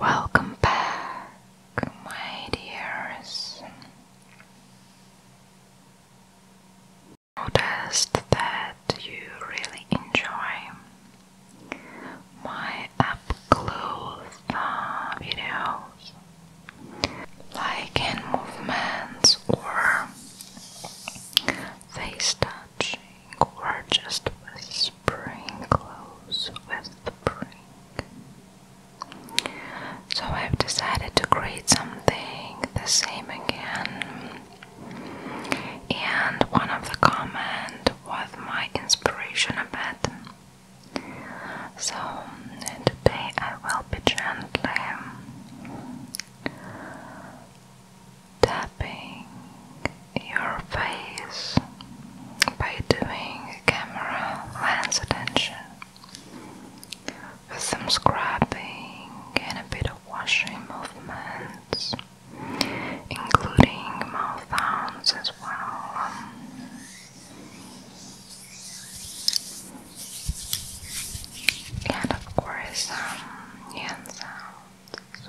Welcome back, my dears. Noticed that you really enjoy my up uh, videos, like hand movements or face touching or just whispering close whispering. So I've decided to create something the same again. And one of the comment was my inspiration a bit. So today I will be gently tapping your face by doing camera lens attention with some scrapping and a bit of washing movements, including mouth sounds as well. And of course, some hand sounds.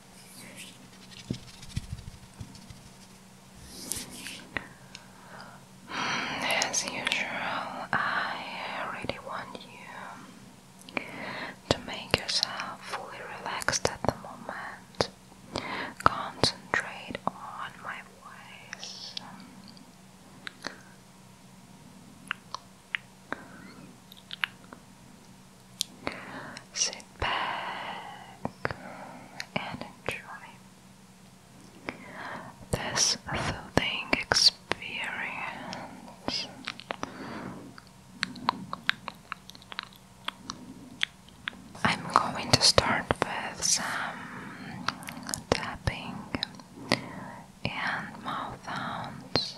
As usual, I really want you to make yourself fully relaxed at the moment. Concentrate on my voice. Sit back and enjoy this soothing experience. I'm going to start with some tapping and mouth sounds.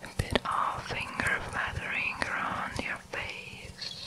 A bit of finger flattering around your face.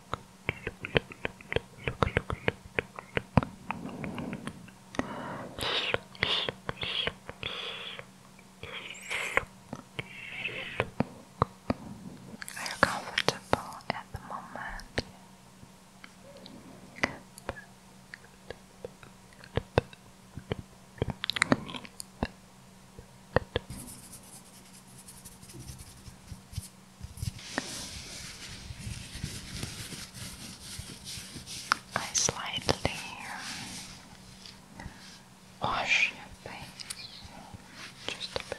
look, look, look, Are you comfortable at the moment? Good. I slightly uh, wash your face just a bit.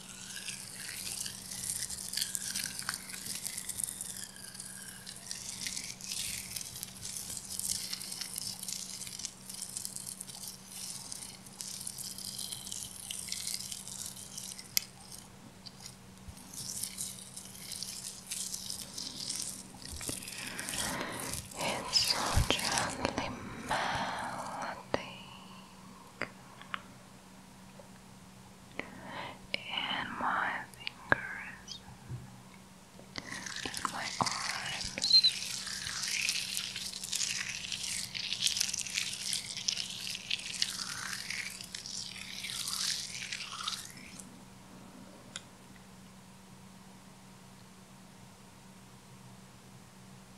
It's so gently melting in my fingers, in my arms.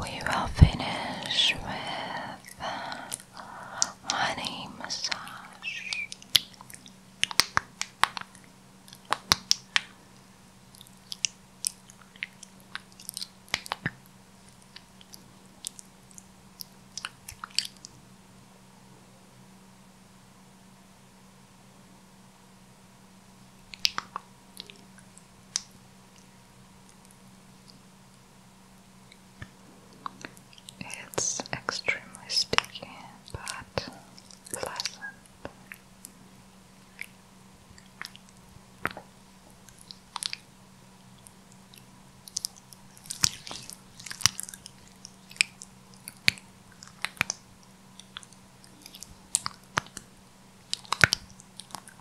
we will finish with uh, honey massage. It's extremely sticky but pleasant.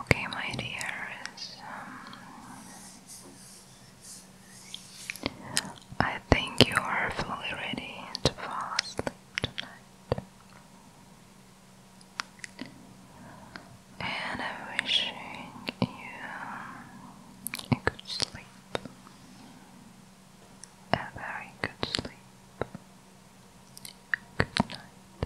Okay, my dear. Um, I think you are fully ready to fall asleep tonight. And I'm wishing you a good sleep. A very good sleep. Good night.